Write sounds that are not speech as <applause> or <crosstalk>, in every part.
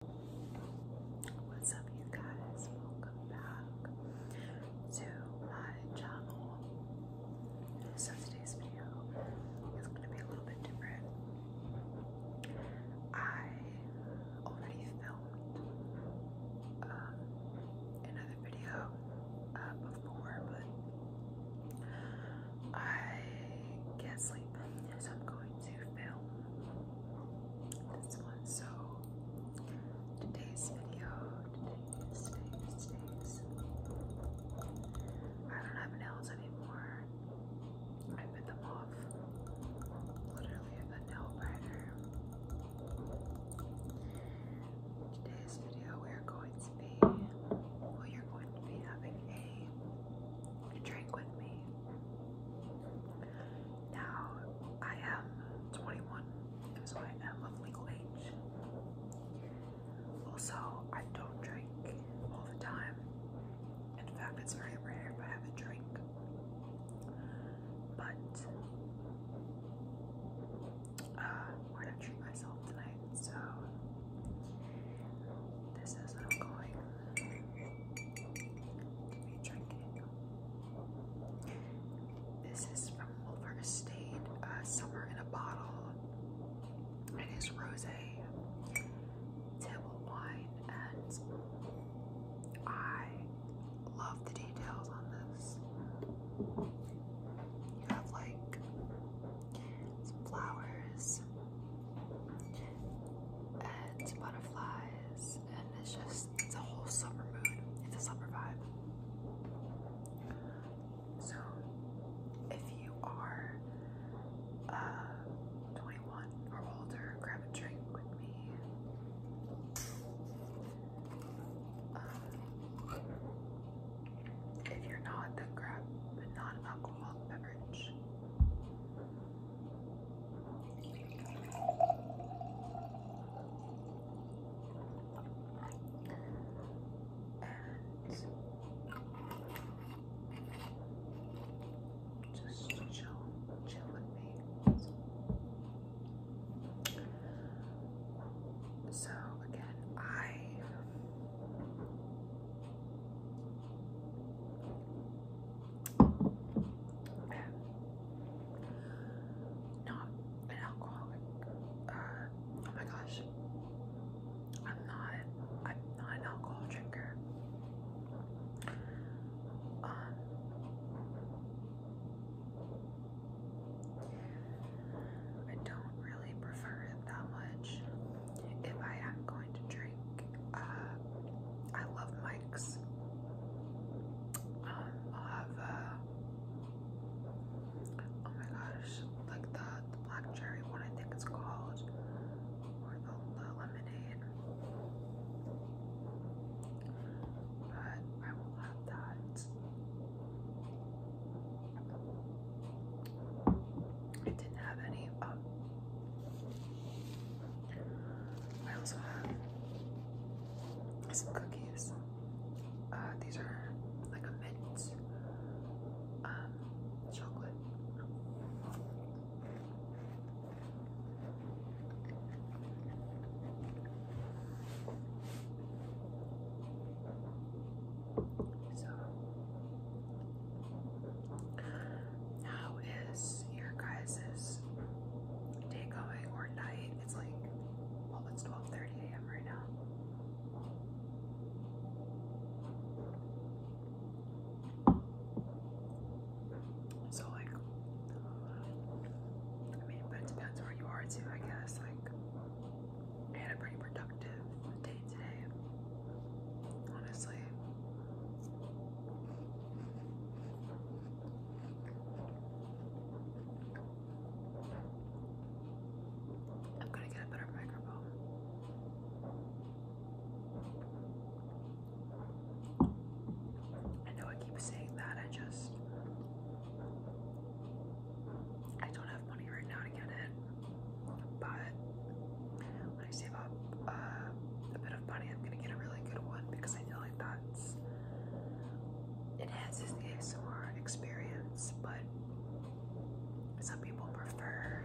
What's up, you guys? Welcome back to my channel. So, today's video is going to be a little bit different. I already filmed um, another video uh, before, but I can't sleep, so I'm going today's video, I don't have nails anymore. I bit them off. Literally a nail biter. Today's video we are going to be well you're going to be having a drink with me. Now I am 21, so I am of legal age. Also, I don't drink all the time. In fact, it's very rare if I have a drink. But I'm uh, are gonna treat myself tonight, so this is what I'm going this is from Wolver Estate, uh, Summer in a Bottle. It is rose, table wine, and I love the details on this. You have like flowers and butterflies and it's just it's a whole summer mood. It's a summer vibe. So if you are uh, 21 or older, grab a drink with me. Um, if you're not, then grab a non-alcoholic beverage. And just chill, chill with me. So again, I not an alcoholic. Uh, oh my gosh, I'm not. I'm not an alcohol drinker. Um, I don't really prefer it that much. If I am going to drink. Uh, I love Mike's. Um, uh, oh my gosh, like the, black cherry one, I think it's called, or the, lemonade. But I will have that. I didn't have any. Um, I also have some cookies. Uh, these are like a mint um, chocolate. So how is your guys's day going or night? It's like, well, it's 12:30 a.m. right now. So like, I mean, but it depends where you are too, I guess. Like, had a pretty productive day today, honestly. I'm gonna get a better microphone. I know I keep saying that, I just I don't have money right now to get it. But when I save up uh, a bit of money, I'm gonna get a really good one because I feel really that's enhances the ASMR experience, but some people prefer,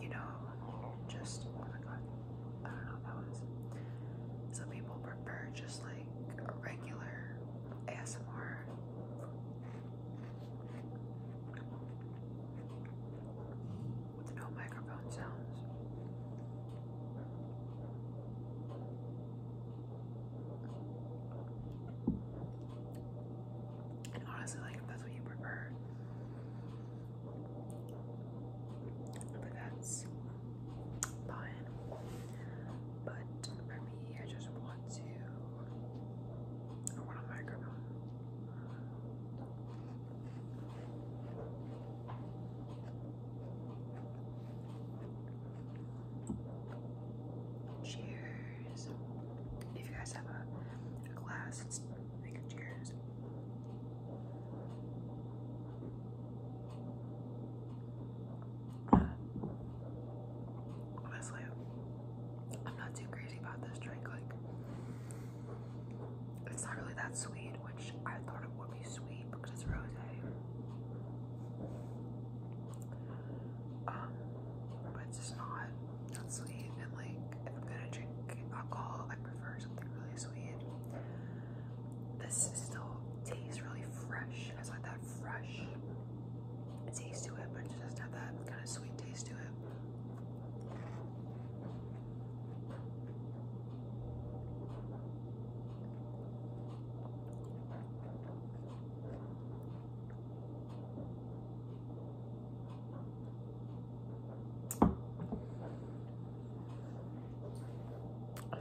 you know, just oh my god, I don't know that was. Some people prefer just like a regular ASMR with no microphone sounds. And honestly, like if that's what you prefer. that's fine. But for me, I just want to I want a microphone. Cheers. If you guys have a, glass, make a cheers. Uh, honestly, I'm not too crazy about this drink. Like, it's not really that sweet, which I thought it would be sweet because it's rose. Um, but it's not that sweet. And like, if I'm gonna drink alcohol, I prefer something really sweet. This still tastes really fresh. It has like that fresh taste to it, but it just doesn't have that kind of sweet taste to it.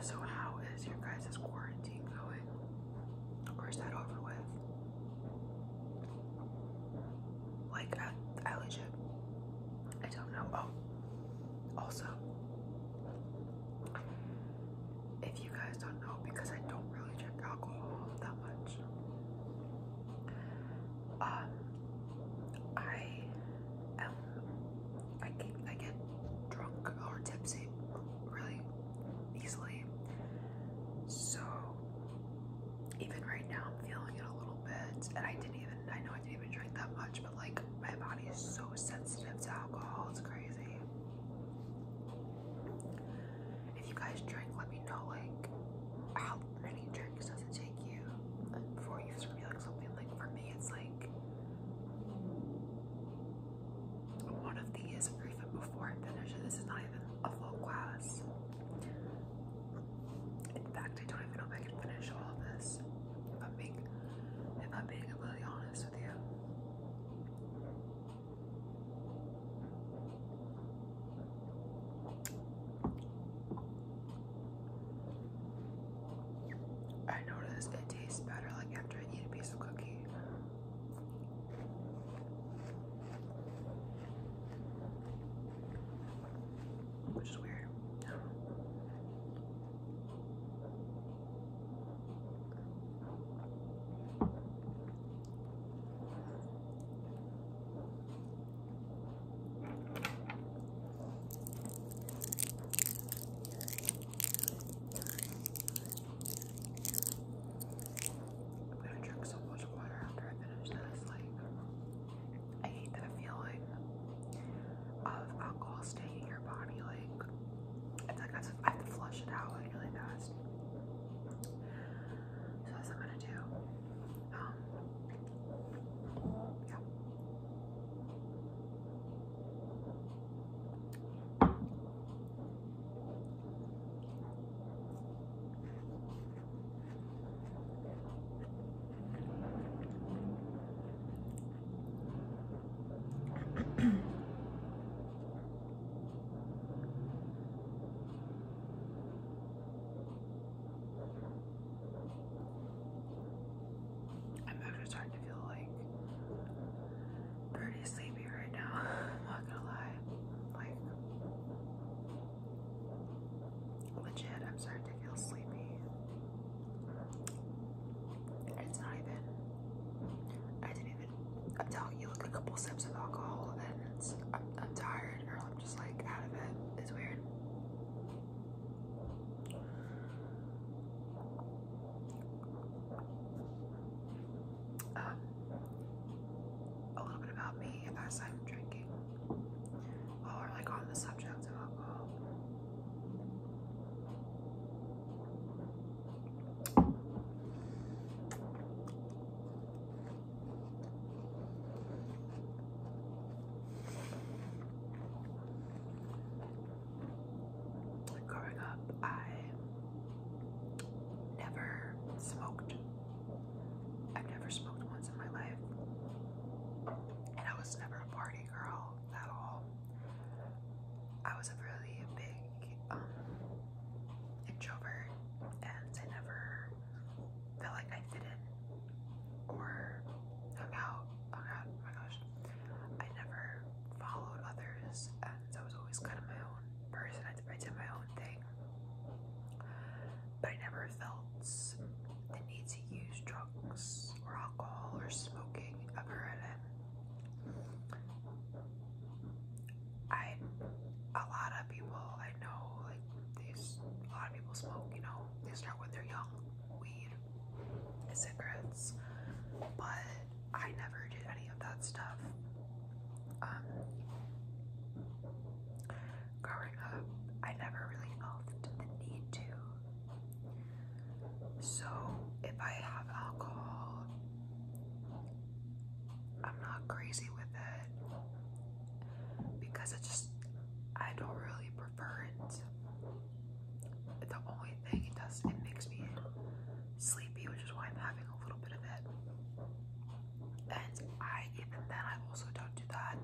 So, how is your guys' quarantine going? Or that over with? Like I, legit, I don't know. Oh, also, if you guys don't know, because I don't really drink alcohol that much, um, I I get, I get drunk or tipsy really easily. So even right now, I'm feeling it a little bit, and I didn't even, I know I I didn't even drink that much, but like my body is so sensitive to alcohol, it's crazy. If you guys drink, let me know like how many drinks does it take you before you feel like something like for me it's like one of these or even before I finish it. This is not even a full glass. In fact, I don't even know if I can finish all this. If I'm being, if I'm being completely honest with you. I notice it tastes better like after I eat a piece of cookie which is weird. I'm gonna drink so water after I finish this, like I hate that feeling of alcohol staying in your body. Like I have to, flush it out like really fast. So that's I'm gonna do. Um, yeah. I'm actually starting to feel like pretty sleepy right now. <laughs> not gonna lie. Like Legit, I'm starting to feel sleepy. It's not even. I didn't even. I'm telling you, like a couple sips of alcohol, and it's. I'm, tired, or I'm just like out of it. It's weird. Um, a little bit about me as I'm drinking or like on the subject of alcohol. Growing up, I never smoked. I've never smoked once in my life. And I was never party girl at all. I was a really big um, introvert, and I never felt like I fit in or hung out. Oh god, oh my gosh. I never followed others, and I was always kind of my own person. I did my own thing but I never felt the need to use drugs or alcohol or smoking ever again. I, a lot of people I know, like, these, a lot of people smoke, you know, they start when they're young, weed, cigarettes, but I never did any of that stuff. Um, growing up, I never really felt the need to. So if I have alcohol, I'm not crazy with it because it just I don't really prefer it. The only thing it does, it makes me sleepy, which is why I'm having a little bit of it. And I, even then, I also don't do that.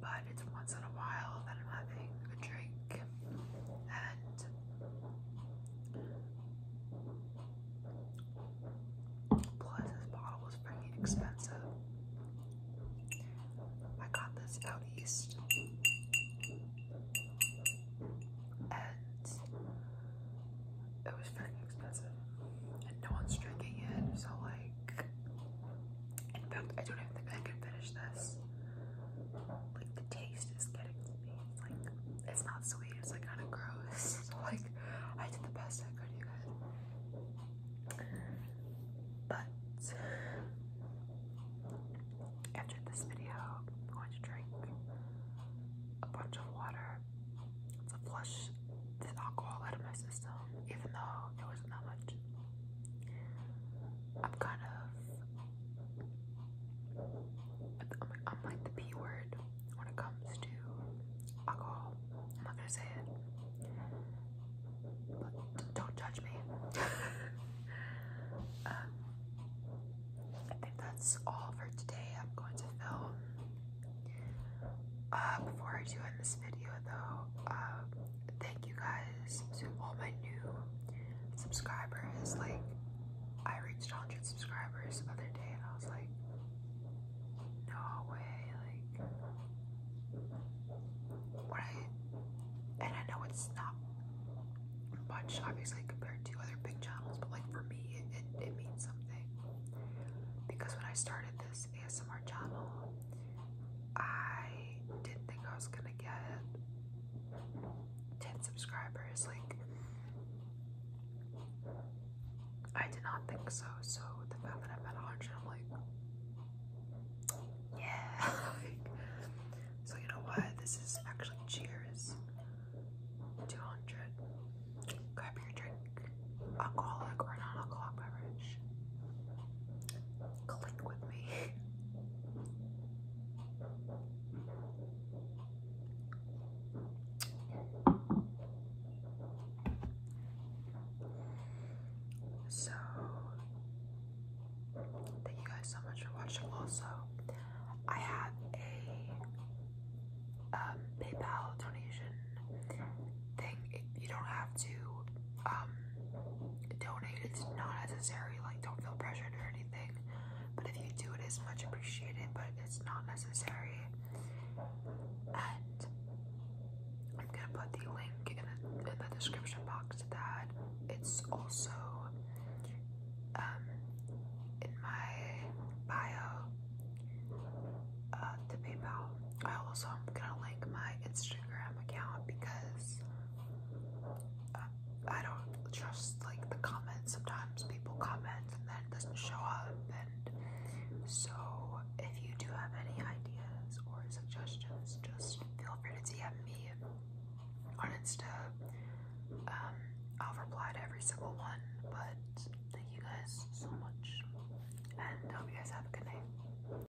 But it's once in a while that I'm having a drink and plus this bottle was pretty expensive. I got this out east and it was very expensive and no one's drinking it so like in fact, I don't even think I can finish this. Like the taste is getting to me. It's like it's not sweet. It's like kind of gross. <laughs> So like I did the best I could, you guys. But after this video, I'm going to drink a bunch of water to flush the alcohol out of my system even though there was not much. I'm kind of, I'm, I'm like the P word when it comes to alcohol. I'm not gonna say it. But don't judge me. <laughs> um, I think that's all for today. I'm going to film. Uh, before I do end this video, though, uh, thank you guys to all my new subscribers. Like, I reached 100 subscribers the other day, and I was like, no way. Like, what I and I know it's not much, obviously, compared to other big channels, but like for me, it, it means something because when I started this, ASMR channel. I didn't think I was gonna get 10 subscribers. Like, I did not think so. So, the fact that I'm at 100, I'm like, yeah. <laughs> so, you know what? This is actually cheers. 200. Grab your drink, alcoholic or non alcoholic beverage click with me. so, thank you guys so much for watching. Also, I have a um, PayPal donation thing. It, you don't have to um, donate. It's not necessary. Like, don't feel pressured or anything. But if you do, it is much appreciated. But it's not necessary. And I'm gonna put the link in the description box. That it's also um in my bio. Uh, the PayPal I also am gonna link my Instagram account because uh, I don't trust like the comments. Sometimes people comment and then it doesn't show up. And so, if you do have any ideas or suggestions, just feel free to DM me on Insta. Um, I'll reply to every single one. But thank you guys so much, and hope you guys have a good night.